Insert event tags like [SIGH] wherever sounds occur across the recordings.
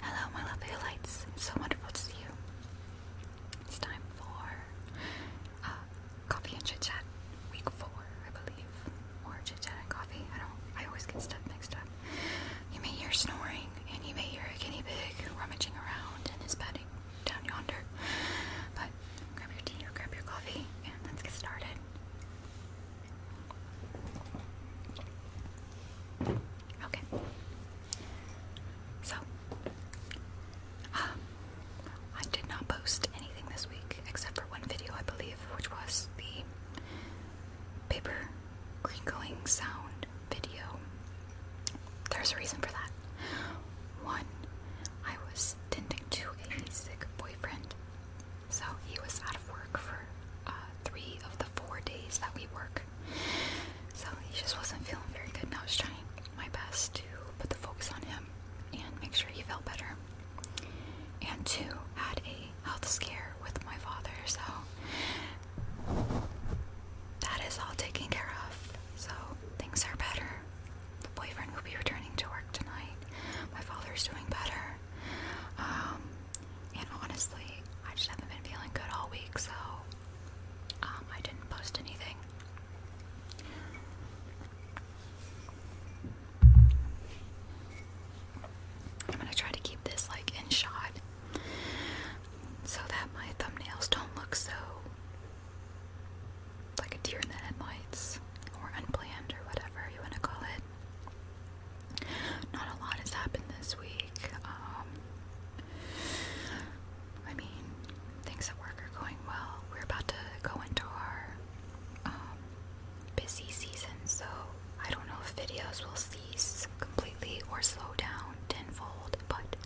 Hello, my lovely lights. so wonderful to see you. It's time for uh, coffee and chit chat, week four, I believe, or chit chat and coffee. I don't. I always get stuff mixed up. You may hear snoring, and you may hear a guinea pig rummaging around in his bedding down yonder. But grab your tea or grab your coffee, and let's get started. Okay. So, um, I did not post anything this week except for one video, I believe, which was the paper crinkling sound video. There's a reason for that. One, I was tending to a sick boyfriend so he was out of work for uh, three of the four days that we work. So he just wasn't feeling very good, Now I was trying my best to put the focus on him and make sure he felt better. And two, had a health scare with my father, so that is all taken care of. So things are better. The boyfriend will be returning to work tonight. My father is doing better. Um, and honestly, I just haven't been feeling good all week, so um, I didn't post anything. I'm gonna try to keep this like in shot so that my thumbnails don't look so like a deer in the headlights or unplanned or whatever you want to call it. Not a lot has happened this week. Um, I mean, things at work are going well. We're about to go into our um, busy season, so I don't know if videos will cease completely or slow down tenfold, but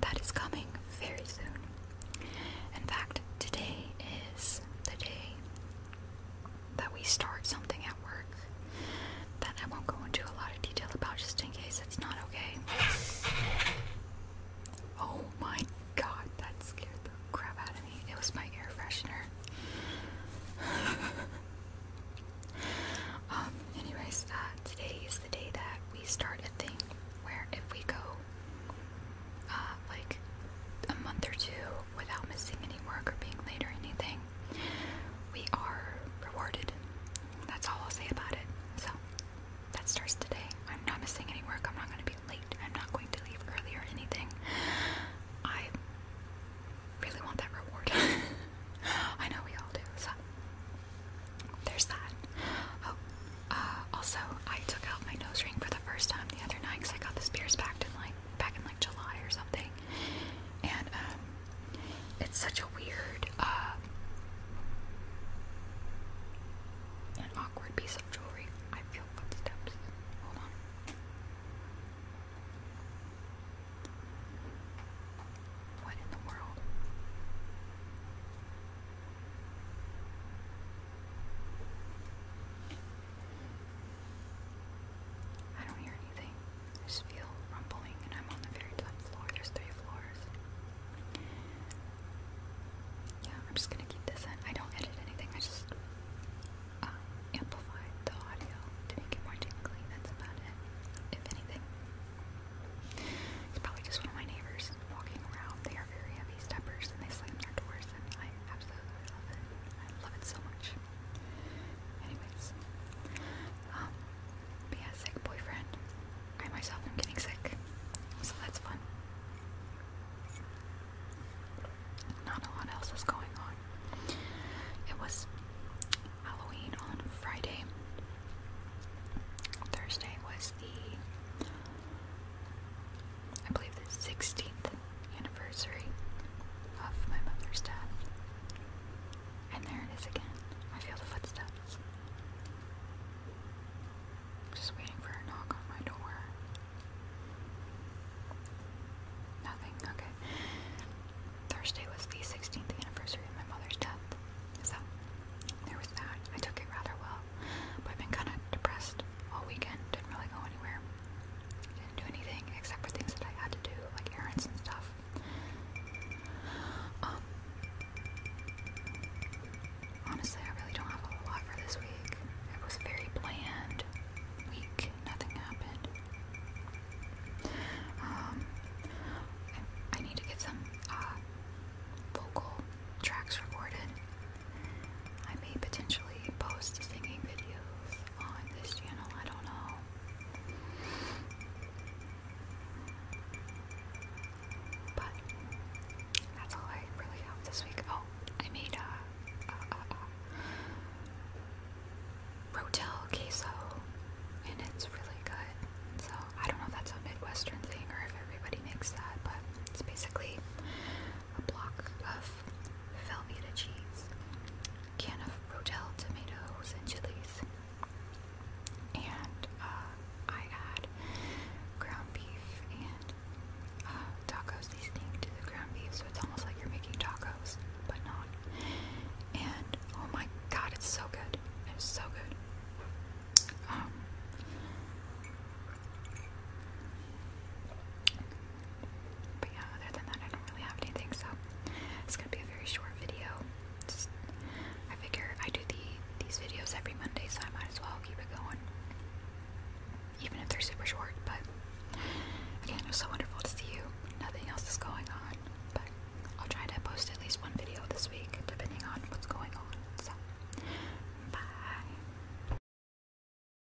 that is coming very soon. In fact, today is the day that we start something at work that I won't go into a lot of detail about just in case it's not okay. Oh my god, that scared the crap out of me. It was my air freshener. [LAUGHS] um, anyways, uh, today is the day that we start a thing where if we go uh, like a month or two without missing any work or being late or anything, we are rewarded. That's all I'll say about it. So that starts today. I'm not missing any work. I'm not going to be late. I'm not going to leave early or anything. I really want that reward. [LAUGHS] I know we all do. So there's that. Oh, uh, also, I took out my nose ring for the first time the other night because I got the Spears back in like back in like July or something. And um, it's such a weird uh, an awkward piece of jewelry. I feel footsteps. Hold on. What in the world? I don't hear anything. I just feel rumbling, and I'm on the very top floor. There's three floors. Yeah, I'm just gonna keep this in. I don't edit anything. I just uh, amplify the audio to make it more tingly. That's about it. If anything, it's probably just one of my neighbors walking around. They are very heavy steppers, and they slam their doors, and I absolutely love it. I love it so much. Anyways. Um, but sick boyfriend. I myself am getting sick. So that's fun. Not a lot else is going on. It was Halloween on Friday. Thursday was the I believe the 16th anniversary of my mother's death. And there it is again. I feel the footsteps. Just waiting for a knock on my door. Nothing, okay. Thursday was the 16th anniversary of my mother's death. So, there was that. I took it rather well. But I've been kind of depressed all weekend. Didn't really go anywhere. Didn't do anything except for things that I had to do, like errands and stuff. Um, honestly, I really don't have a lot for this week. It was very bland week. Nothing happened. Um, I, need to get some uh, vocal tracks recorded. I may potentially post singing videos following this channel, I don't know. But that's all I really have this week. Oh, I made a, a rotel queso, and it's really good. So I don't know if that's a Midwestern thing or if everybody makes that, but it's basically a block of Velveeta cheese, can of Rotel tomatoes and chilies, and uh, I add ground beef and uh, tacos seasoning to the ground beef, so it's almost like you're making tacos, but not. And oh my god, it's so good! It's so good. Um, but yeah, other than that, I don't really have anything, so it's gonna be a very short video. Just, I figure I do the these videos every Monday, so I might as well keep it going, even if they're super short. But again, it was so wonderful to see you. Nothing else is going on, but I'll try to post at least one video this week, depending on what's going on. So, bye.